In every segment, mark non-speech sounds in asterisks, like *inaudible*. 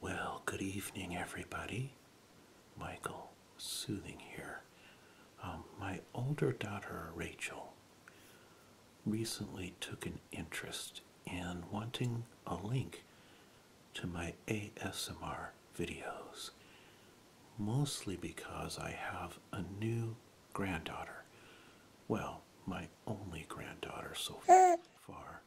Well, good evening, everybody. Michael Soothing here. Um, my older daughter, Rachel, recently took an interest in wanting a link to my ASMR videos, mostly because I have a new granddaughter. Well, my only granddaughter so *laughs* far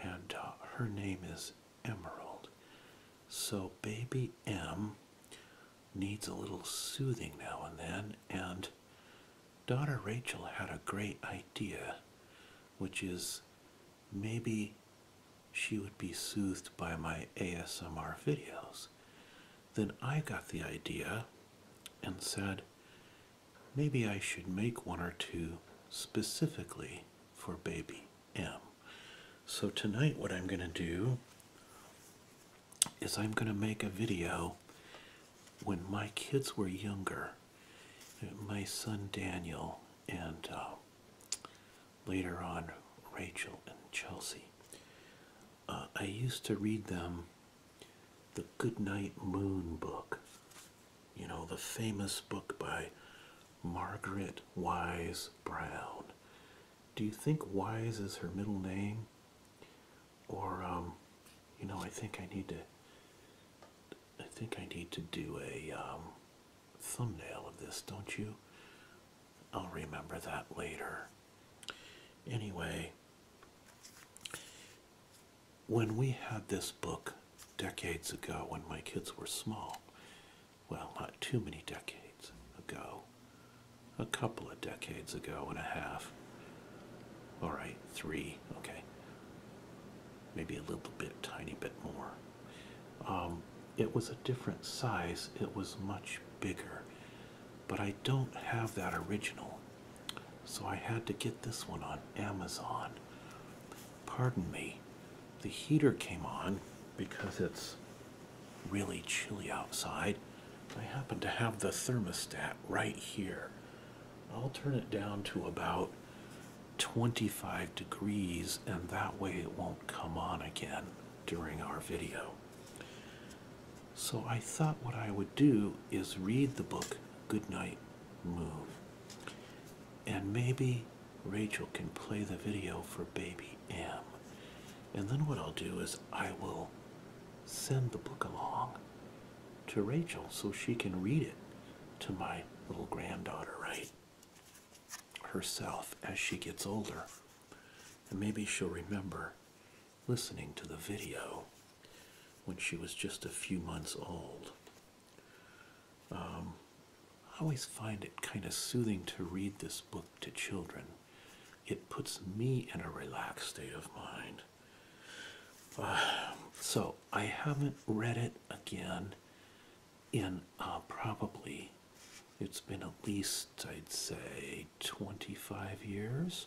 and uh, her name is Emerald. So, baby M needs a little soothing now and then, and daughter Rachel had a great idea, which is maybe she would be soothed by my ASMR videos. Then I got the idea and said, maybe I should make one or two specifically for baby M. So tonight what I'm going to do is I'm going to make a video when my kids were younger. My son Daniel and uh, later on Rachel and Chelsea. Uh, I used to read them the Goodnight Moon book you know, the famous book by Margaret Wise Brown. Do you think Wise is her middle name? Or, um, you know, I think I need to. I think I need to do a um, thumbnail of this, don't you? I'll remember that later. Anyway, when we had this book decades ago when my kids were small, well, not too many decades ago, a couple of decades ago and a half, all right, three, okay, maybe a little bit, tiny bit more. Um, it was a different size, it was much bigger, but I don't have that original so I had to get this one on Amazon. Pardon me, the heater came on because it's really chilly outside. I happen to have the thermostat right here. I'll turn it down to about 25 degrees and that way it won't come on again during our video. So I thought what I would do is read the book Good night, Moon. And maybe Rachel can play the video for Baby M. And then what I'll do is I will send the book along to Rachel so she can read it to my little granddaughter, right? Herself as she gets older. And maybe she'll remember listening to the video when she was just a few months old. Um, I always find it kind of soothing to read this book to children. It puts me in a relaxed state of mind. *sighs* so I haven't read it again in uh, probably, it's been at least, I'd say, 25 years.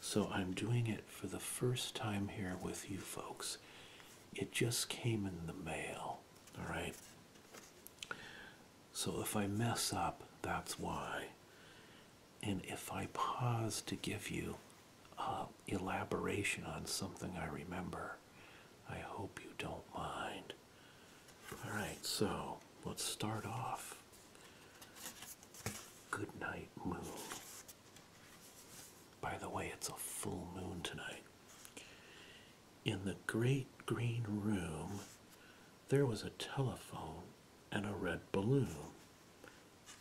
So I'm doing it for the first time here with you folks. It just came in the mail, all right? So if I mess up, that's why. And if I pause to give you uh, elaboration on something I remember, I hope you don't mind. All right, so let's start off. Good night, moon. By the way, it's a full moon tonight. In the great green room, there was a telephone and a red balloon,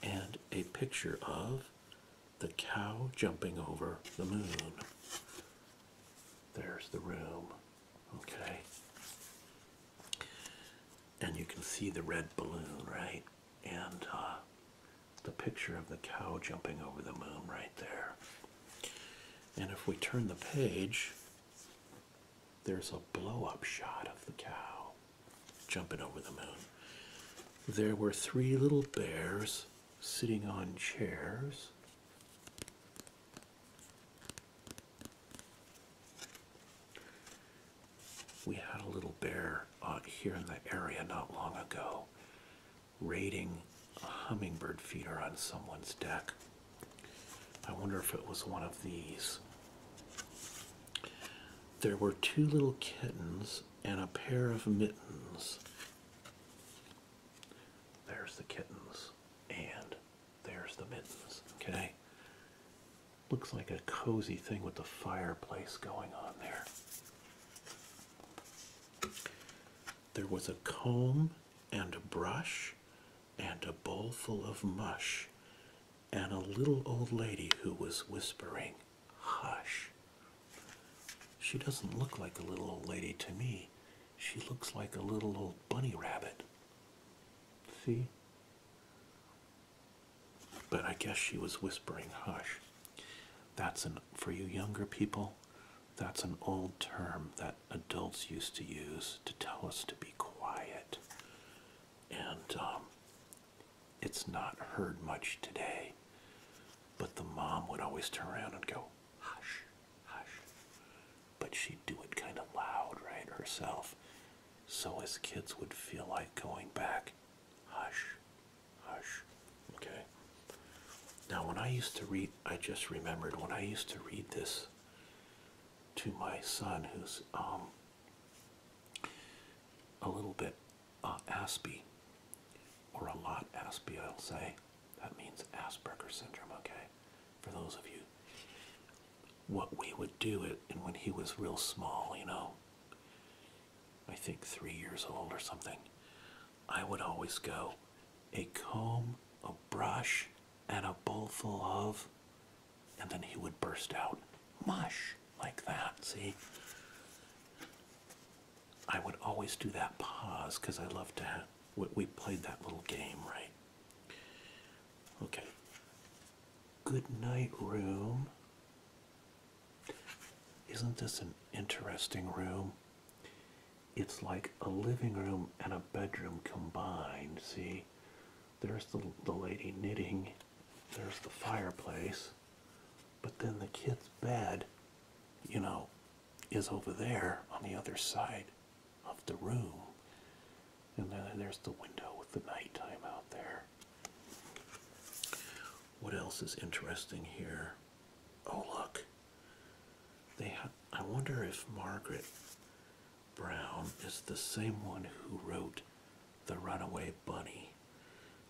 and a picture of the cow jumping over the moon. There's the room, okay? And you can see the red balloon, right? and uh, the picture of the cow jumping over the moon right there. And if we turn the page, there's a blow up shot of the cow jumping over the moon. There were three little bears sitting on chairs. We had a little bear uh, here in the area not long ago raiding a hummingbird feeder on someone's deck. I wonder if it was one of these. There were two little kittens and a pair of mittens. There's the kittens and there's the mittens, okay? Looks like a cozy thing with the fireplace going on there. There was a comb and a brush and a bowl full of mush and a little old lady who was whispering, Hush. She doesn't look like a little old lady to me. She looks like a little old bunny rabbit. See? But I guess she was whispering hush. That's an for you younger people, that's an old term that adults used to use to tell us to be quiet. And um, it's not heard much today. But the mom would always turn around and go, hush, hush. But she'd do it kind of loud, right, herself. So as kids would feel like going back, Hush, hush. Okay. Now, when I used to read, I just remembered when I used to read this to my son, who's um, a little bit uh, Aspie, or a lot Aspie. I'll say. That means Asperger syndrome, okay? For those of you. What we would do it, and when he was real small, you know, I think three years old or something, I would always go a comb, a brush, and a bowl full of, and then he would burst out mush like that. See? I would always do that pause because I love to have, we played that little game, right? Okay. Good night, room. Isn't this an interesting room? It's like a living room and a bedroom combined. See, there's the, the lady knitting, there's the fireplace, but then the kid's bed, you know, is over there on the other side of the room. And then there's the window with the nighttime out there. What else is interesting here? Oh, look. They ha I wonder if Margaret Brown is the same one who wrote The Runaway Bunny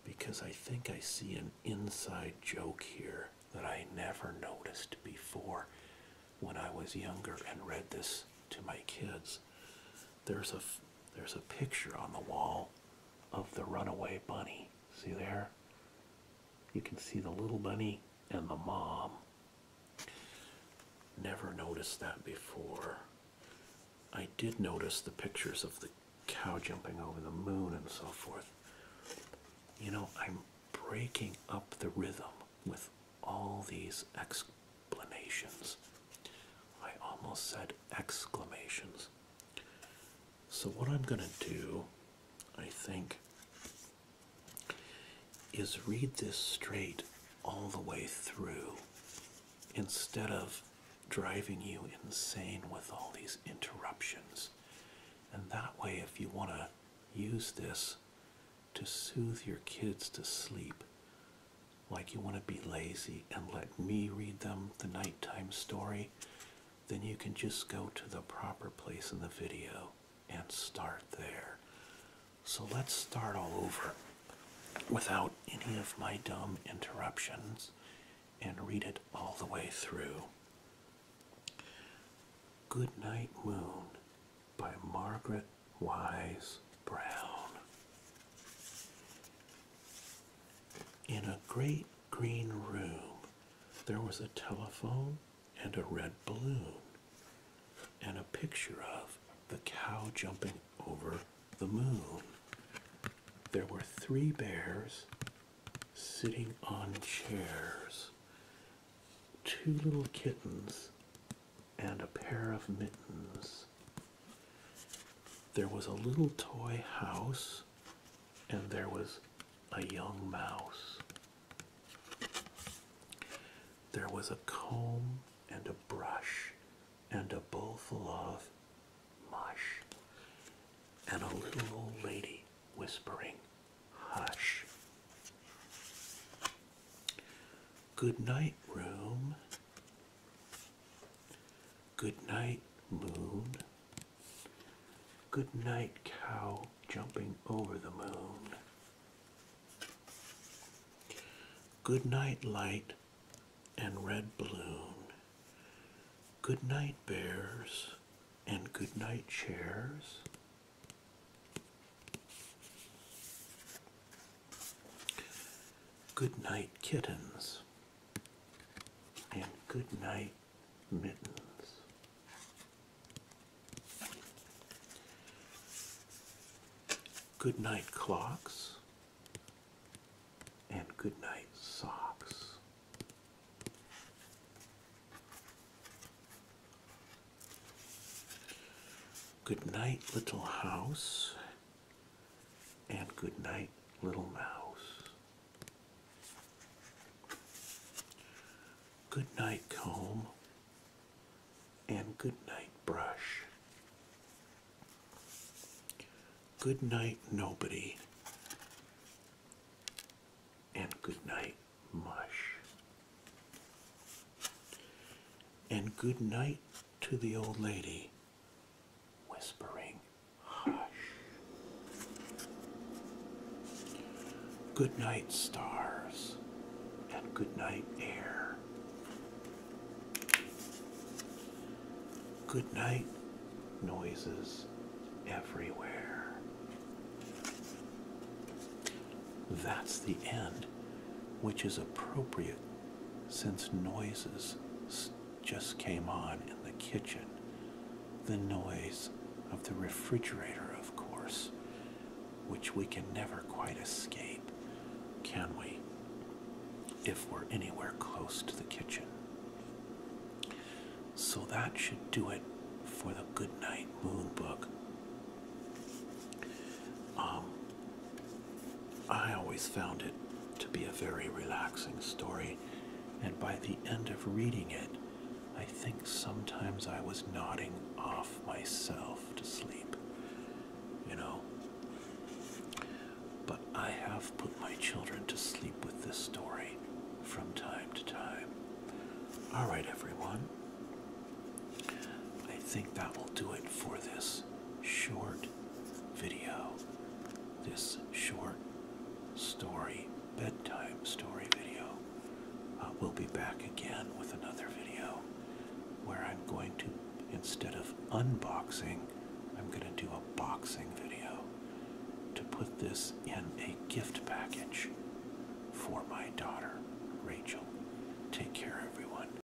because I think I see an inside joke here that I never noticed before when I was younger and read this to my kids there's a there's a picture on the wall of the runaway bunny. See there? You can see the little bunny and the mom. Never noticed that before. I did notice the pictures of the cow jumping over the moon and so forth. You know, I'm breaking up the rhythm with all these ex explanations. I almost said exclamations. So, what I'm going to do, I think, is read this straight all the way through instead of driving you insane with all these interruptions. And that way, if you want to use this to soothe your kids to sleep, like you want to be lazy and let me read them the nighttime story, then you can just go to the proper place in the video and start there. So let's start all over without any of my dumb interruptions and read it all the way through. Good Night Moon by Margaret Wise Brown. In a great green room, there was a telephone and a red balloon, and a picture of the cow jumping over the moon. There were three bears sitting on chairs, two little kittens and a pair of mittens. There was a little toy house, and there was a young mouse. There was a comb and a brush and a bowl full of mush, and a little old lady whispering, Hush. Good night, room. Good night, moon. Good night, cow jumping over the moon. Good night, light and red balloon. Good night, bears and good night, chairs. Good night, kittens, and good night, mittens. Good night, clocks, and good night, socks. Good night, little house, and good night, little mouse. Good night, comb. And good night, brush. Good night, nobody. And good night, mush. And good night to the old lady whispering hush. Good night, stars, and good night, air. Good night, noises everywhere. That's the end, which is appropriate since noises just came on in the kitchen, the noise of the refrigerator, of course, which we can never quite escape, can we, if we're anywhere close to the kitchen? So that should do it for the Goodnight Moon book. Um, I always found it to be a very relaxing story, and by the end of reading it, I think sometimes I was nodding off myself to sleep, you know. But I have put my children to sleep with this story from time to time. All right, everyone. I think that will do it for this short video, this short story, bedtime story video. Uh, we'll be back again with another video where I'm going to, instead of unboxing, I'm going to do a boxing video to put this in a gift package for my daughter, Rachel. Take care, everyone.